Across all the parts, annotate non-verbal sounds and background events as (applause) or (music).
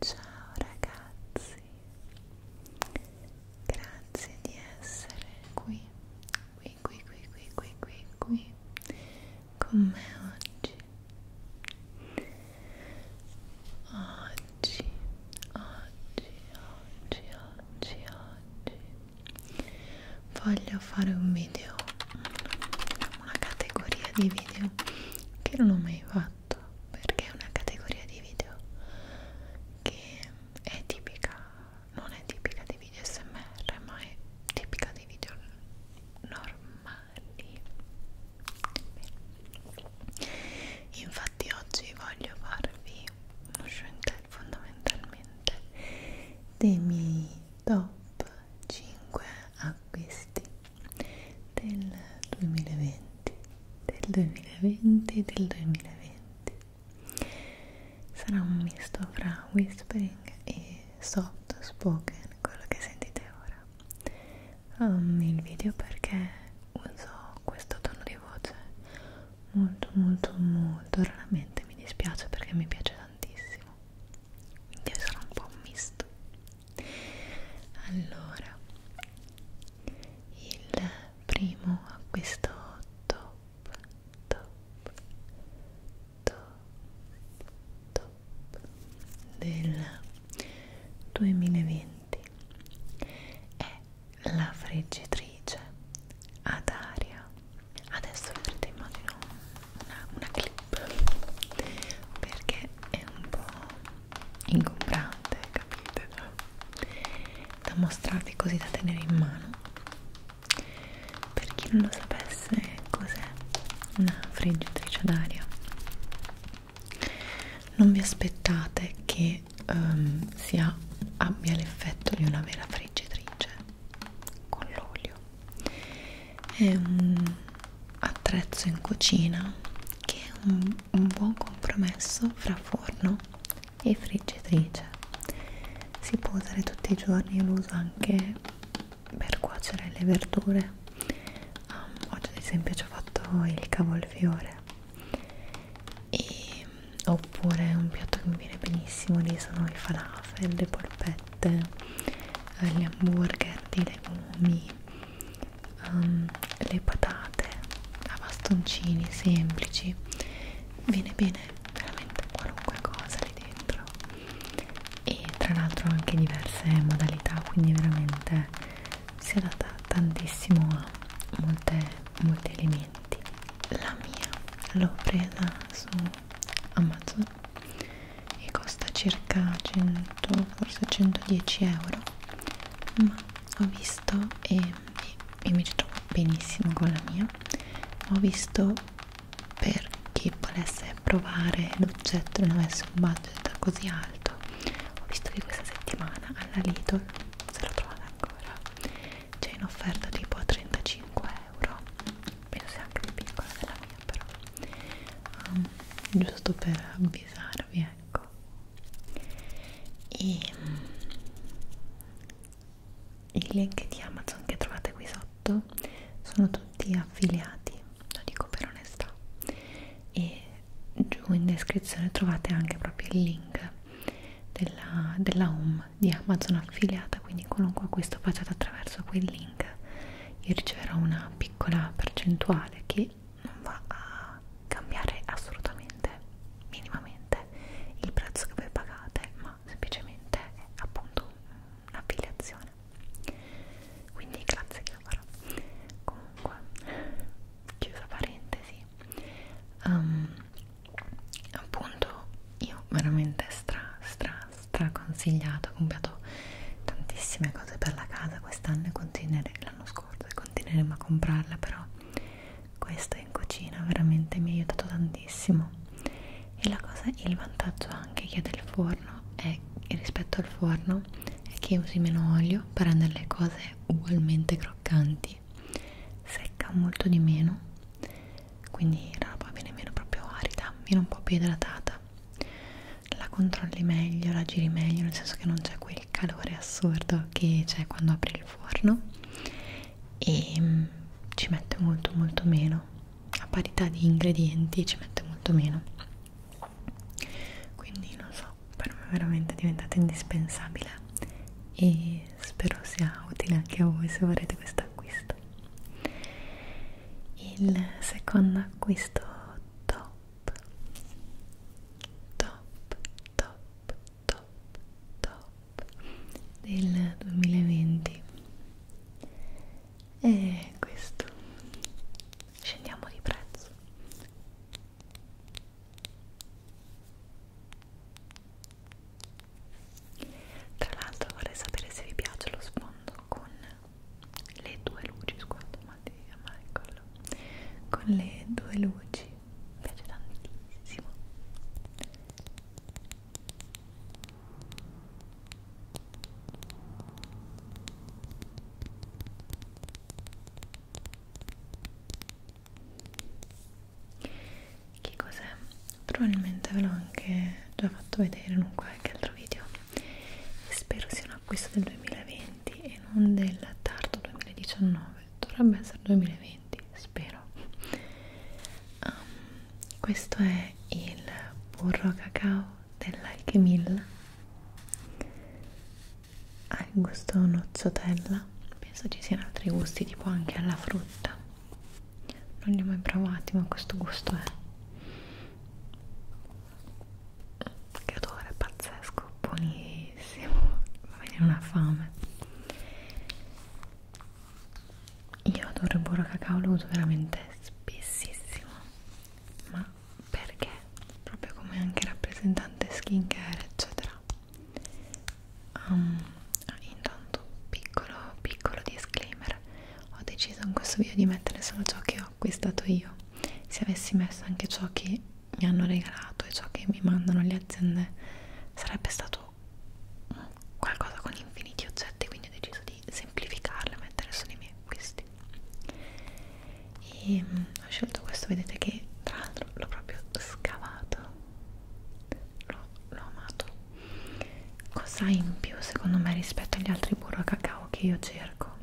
Ciao ragazzi, grazie di essere qui, qui, qui, qui, qui, qui, qui, qui con me oggi. Oggi, oggi, oggi, oggi, oggi voglio fare un video, una categoria di video che non ho mai fatto perché è una categoria di video che è tipica, non è tipica dei video smr ma è tipica dei video normali Beh. infatti oggi voglio farvi uno showing fondamentalmente dei miei top 5 acquisti del 2020 del 2020 del 2020 sarà un misto fra whispering e soft spoken quello che sentite ora um, il video perché uso questo tono di voce molto molto molto raramente mi dispiace perché mi piace tantissimo quindi sarà un po' un misto allora il primo acquisto top top top top del 2020 è la friggitrice ad aria adesso vedrete immagino una, una clip perché è un po' ingombrante, capite? Da mostrarvi così da tenere in mano. Per chi non lo sapesse, cos'è una friggitrice d'aria? Non vi aspettate che um, sia, abbia l'effetto di una vera friggitrice con l'olio è un attrezzo in cucina che è un, un buon compromesso fra forno e friggitrice si può usare tutti i giorni e lo uso anche per cuocere le verdure um, oggi ad esempio ci ho fatto il cavolfiore e, oppure un piatto che mi viene benissimo lì sono i falafel, le polpette polpette, gli hamburger di legumi, um, le patate a bastoncini semplici. Viene bene veramente qualunque cosa lì dentro. E tra l'altro anche diverse modalità, quindi veramente si adatta tantissimo a molte, molti elementi. La mia l'ho presa su Amazon e costa circa 100 forse 110 euro ma ho visto e, e mi ci trovo benissimo con la mia ho visto per chi volesse provare l'oggetto non avesse un budget così alto ho visto che questa settimana alla Lidl se lo trovate ancora c'è in offerta tipo a 35 euro penso sia anche più piccola della mia però um, giusto per avvisarvi ecco e um, mm, i link di Amazon che trovate qui sotto sono tutti affiliati lo dico per onestà e giù in descrizione trovate anche proprio il link della, della home di Amazon affiliata quindi qualunque acquisto facciate attraverso quel link link io riceverò una piccola percentuale che non va a cambiare assolutamente minimamente il prezzo che voi pagate ma semplicemente è appunto un'affiliazione quindi grazie Chiara comunque chiusa parentesi um, appunto io veramente stra stra straconsigliato, ho comprato tantissime cose per la casa quest'anno e continueremo, l'anno scorso e continueremo a comprarla però questo in cucina veramente mi ha aiutato tantissimo e la cosa, il vantaggio anche che ha del forno è che rispetto al forno è che usi meno olio per rendere le cose ugualmente croccanti secca molto di meno quindi la roba viene meno proprio arida, viene un po' più idratata la controlli meglio, la giri meglio, nel senso che non c'è quel calore assurdo che c'è quando apri il forno e mm, ci mette molto molto meno a parità di ingredienti ci mette molto meno quindi non so, per me è veramente diventata indispensabile e spero sia utile anche a voi se vorrete questo acquisto il secondo acquisto top top top top top del 2020 e questo scendiamo di prezzo tra l'altro vorrei sapere se vi piace lo sfondo con le due luci, scusate, ma di Michael. Con le due luci mi piace tantissimo che cos'è? probabilmente ve l'ho anche già fatto vedere in un qualche altro video spero sia un acquisto del 2020 e non del tardo 2019 dovrebbe essere 2020 spero um, questo è il burro cacao dell'alchemilla ha il gusto nocciotella penso ci siano altri gusti tipo anche alla frutta non li ho mai provati ma questo gusto è che odore pazzesco buonissimo va bene una fame io adoro il burro cacao lo uso veramente spessissimo ma perché proprio come anche rappresentante skincare eccetera ha um, Ah, intanto, piccolo, piccolo disclaimer, ho deciso in questo video di mettere solo ciò che ho acquistato io. Se avessi messo anche ciò che mi hanno regalato e ciò che mi mandano le aziende, sarebbe stato qualcosa con infiniti oggetti, quindi ho deciso di semplificarlo e mettere solo i miei acquisti. E mh, mm, ho scelto questo, vedete che tra l'altro l'ho proprio scavato l'ho amato cosa in più secondo me rispetto agli altri burro a cacao che io cerco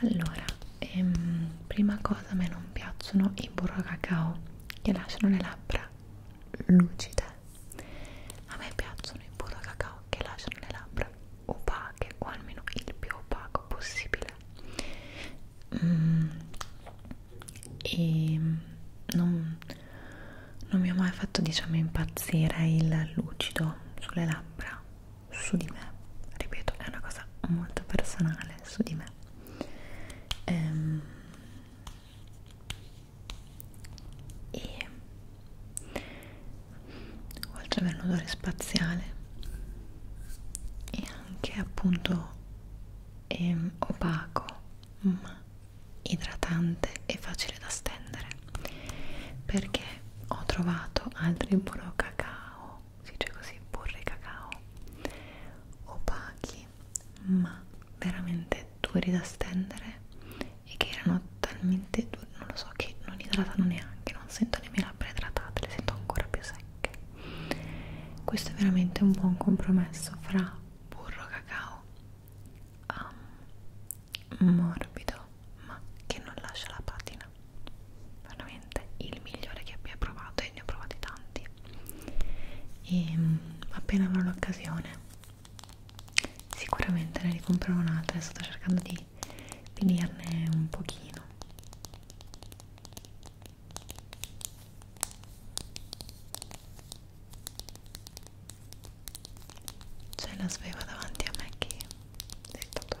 allora ehm, prima cosa a me non piacciono i burro a cacao che lasciano le labbra lucide a me piacciono i burro a cacao che lasciano le labbra opache o almeno il più opaco possibile mm, e ehm, non non mi ha mai fatto diciamo impazzire il lucido sulle labbra su di me ripeto è una cosa molto personale su di me ehm, e oltre ad avere un odore spaziale e anche appunto ehm, opaco ma mm. idratante e facile da stendere perché ho trovato altri burro cacao si dice così burro cacao opachi ma veramente duri da stendere e che erano talmente duri non lo so che non idratano neanche non sento le mie labbra idratate le sento ancora più secche questo è veramente un buon compromesso fra burro cacao um, morbido ma che non lascia la patina veramente il migliore che abbia provato e ne ho provati tanti e um, appena avrò l'occasione sicuramente ne ricomprerò un'altra sto cercando di finirne un pochino Se las veo davanti a me che si sta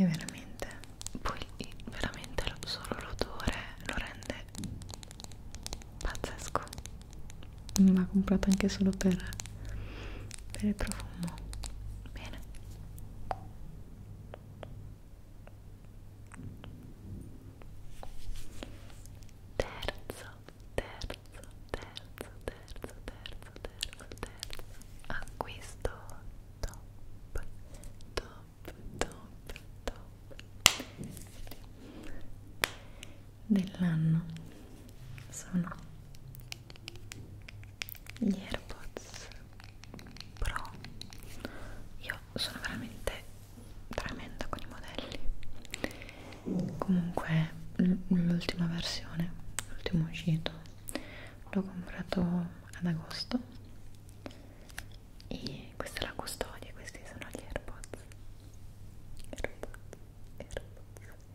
e veramente poi veramente solo l'odore lo rende pazzesco mm, ma comprato anche solo per, per il profumo bene terzo, terzo, terzo, terzo, terzo, terzo, terzo acquisto top, top, top, top dell'anno sono gli AirPods però io sono veramente tremenda con i modelli comunque l'ultima versione l'ultimo uscito l'ho comprato ad agosto e questa è la custodia questi sono gli airpods airpods airpods,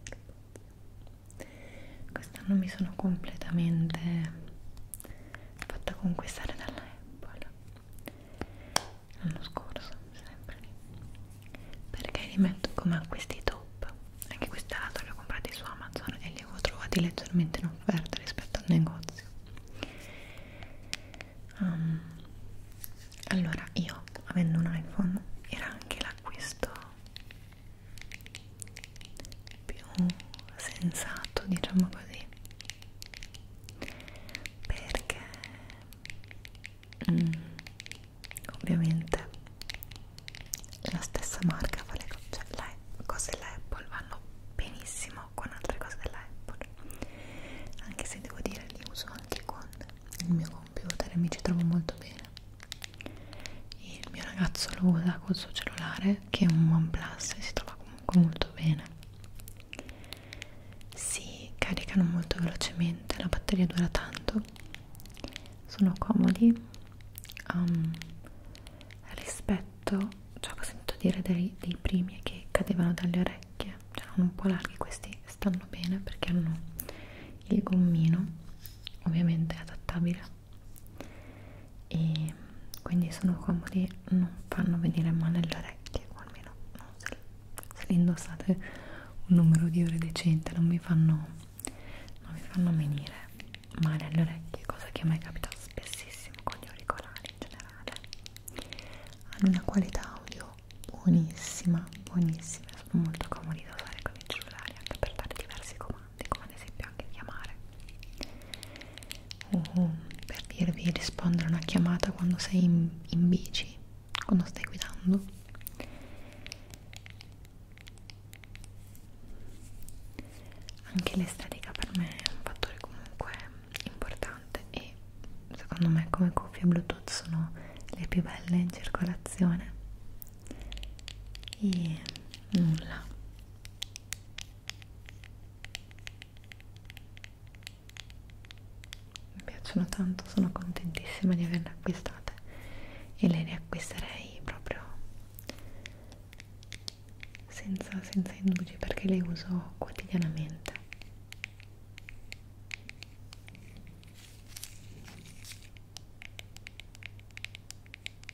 airpods. quest'anno mi sono completamente fatta conquistare dalla Apple l'anno scorso sempre perché li metto come acquisti top anche questi l'altro li ho comprati su Amazon e li avevo trovati leggermente in offerta rispetto al negozio um, allora io avendo un iPhone era anche l'acquisto più sensato diciamo così perché mm, ovviamente la stessa marca fa le, cioè, le cose della Apple vanno benissimo con altre cose della Apple anche se devo dire li uso anche con il mio computer e mi ci trovo molto bene il mio ragazzo lo usa col suo cellulare che un OnePlus si trova comunque molto bene si caricano molto velocemente la batteria dura tanto sono comodi um, rispetto ciò cioè, che ho sentito dire dei, dei primi che cadevano dalle orecchie cioè erano un po' larghi questi stanno bene perché hanno il gommino ovviamente adattabile e quindi sono comodi, non fanno venire male le orecchie, o almeno no, se, se le indossate un numero di ore decente non mi fanno, non mi fanno venire male alle orecchie, cosa che a me capita spessissimo con gli auricolari in generale. Hanno una qualità audio buonissima, buonissima, sono molto comodi da usare con il cellulare anche per dare diversi comandi comandi, come ad esempio anche chiamare o uhm, per dirvi rispondere a una chiamata quando sei in, in bici, quando stai guidando anche l'estetica per me è un fattore comunque importante e secondo me come cuffie bluetooth sono le più belle in circolazione e nulla mi piacciono tanto, sono contentissima di averle acquistate e le riacquisterei proprio senza, senza indugi perché le uso quotidianamente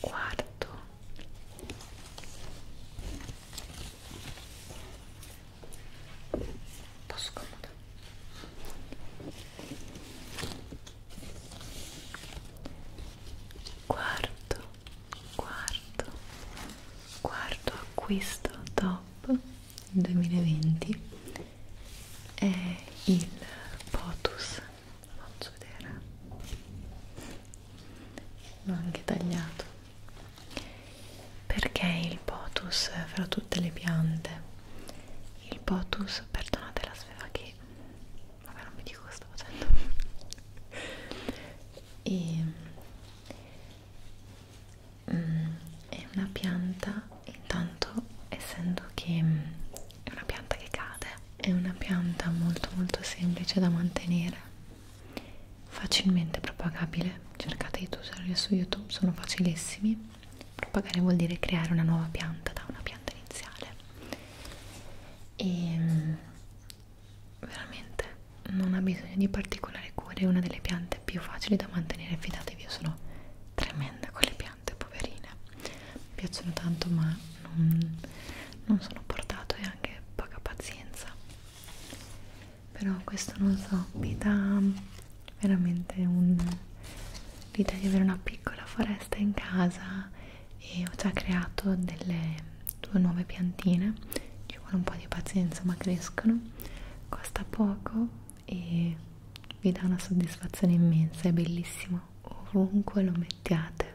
quarto un po' scomodo quarto quarto quarto acquisto top 2020 è il Potus faccio vedere l'ho anche tagliato perché il potus fra tutte le piante il potus perdonate la sfera che vabbè non vi dico cosa sto facendo (laughs) e, mm, è una pianta intanto essendo che è una pianta che cade è una pianta molto molto semplice da mantenere facilmente propagabile cercate di tutorial su youtube sono facilissimi propagare vuol dire creare una nuova pianta da una pianta iniziale e ehm, veramente non ha bisogno di particolari cure è una delle piante più facili da mantenere fidatevi io sono tremenda con le piante piante poverine mi piacciono tanto ma non, non sono portato e anche poca pazienza però questo non so mi dà veramente l'idea di avere una piccola foresta in casa e ho già creato delle due nuove piantine ci vuole un po' di pazienza ma crescono costa poco e vi dà una soddisfazione immensa, è bellissimo ovunque lo mettiate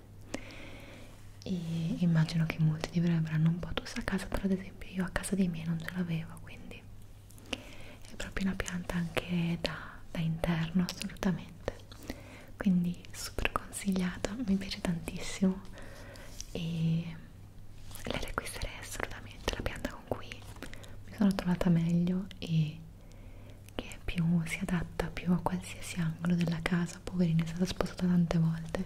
e immagino che molti di voi avranno un potus a casa però ad esempio io a casa dei miei non ce l'avevo quindi è proprio una pianta anche da, da interno assolutamente quindi super consigliata mi piace tantissimo e la requisterei assolutamente la pianta con cui mi sono trovata meglio e che più si adatta più a qualsiasi angolo della casa poverina è stata sposata tante volte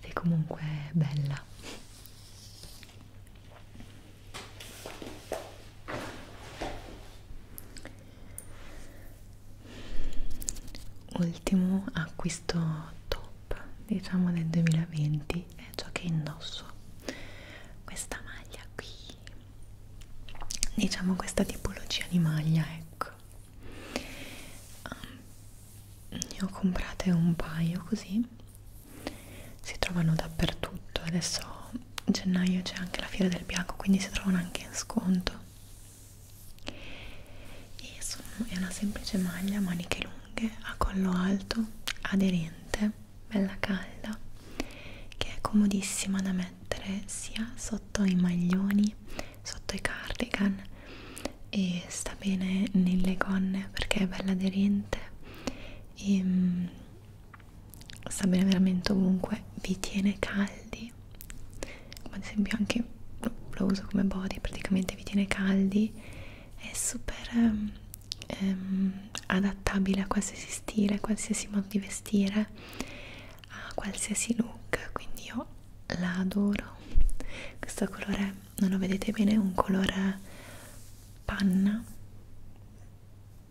ed è comunque bella ultimo acquisto top diciamo del 2020 è ciò che indosso questa maglia qui diciamo questa tipologia di maglia ecco um, ne ho comprate un paio così si trovano dappertutto adesso a gennaio c'è anche la fiera del bianco quindi si trovano anche in sconto e sono, è una semplice maglia maniche lunghe a collo alto aderente bella calda che è comodissima da mettere sia sotto i maglioni sotto i cardigan e sta bene nelle gonne perché è bella aderente e ehm, sta bene veramente ovunque vi tiene caldi come ad esempio anche lo uso come body praticamente vi tiene caldi è super ehm, ehm, adattabile a qualsiasi stile, a qualsiasi modo di vestire, a qualsiasi look, quindi io la adoro. Questo colore, non lo vedete bene, è un colore panna,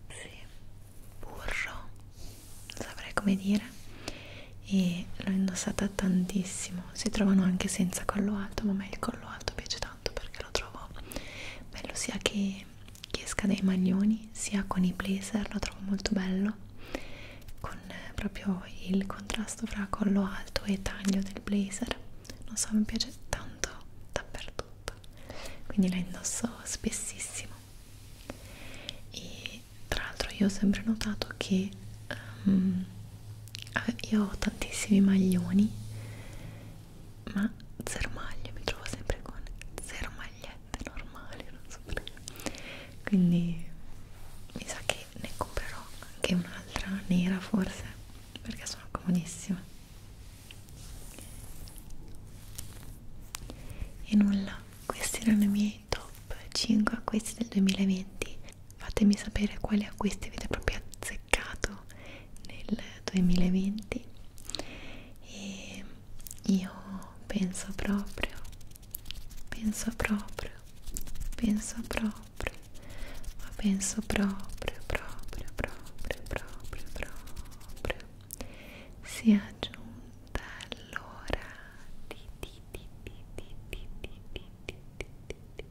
sì, burro, non saprei come dire e l'ho indossata tantissimo si trovano anche senza collo alto ma a me il collo alto piace tanto tanto perché lo trovo bello sia che, che esca dai maglioni sia con i blazer lo trovo molto bello con eh, proprio il contrasto fra collo alto e taglio del blazer non so mi piace tanto dappertutto quindi la indosso spessissimo e tra l'altro io ho sempre notato che um, io ho tantissimi maglioni ma zero maglie, mi trovo sempre con zero magliette normali, non so perché quindi mi sa che ne comprerò anche un'altra nera forse perché sono comodissime e nulla, questi erano i miei top 5 acquisti del 2020 fatemi sapere quali acquisti avete proprio azzeccato nel 2020 e io penso proprio, penso proprio, penso proprio, ma penso proprio, proprio, proprio, proprio, proprio sia giunta l'ora di di di di di di di di di di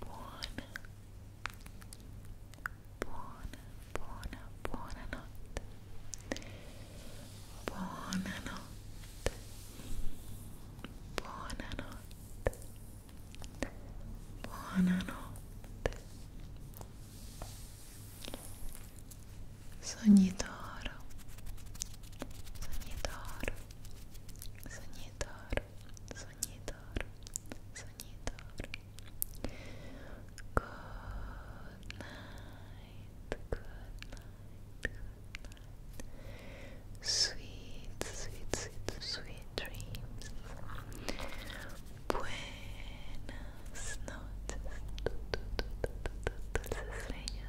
buona buona buona buona notte buona notte buona notte buona notte sogni d'oro sogni d'oro Soñador, soñador, soñador. Good night, good night, good night. Sweet, sweet, sweet, sweet dreams. Buenas noches, dulces sueños.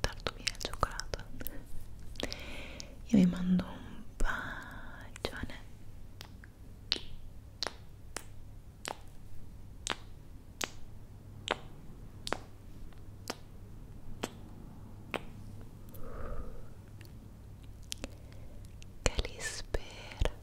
Tardo via il cioccolato. Io vi mando un bacione. Che li spero.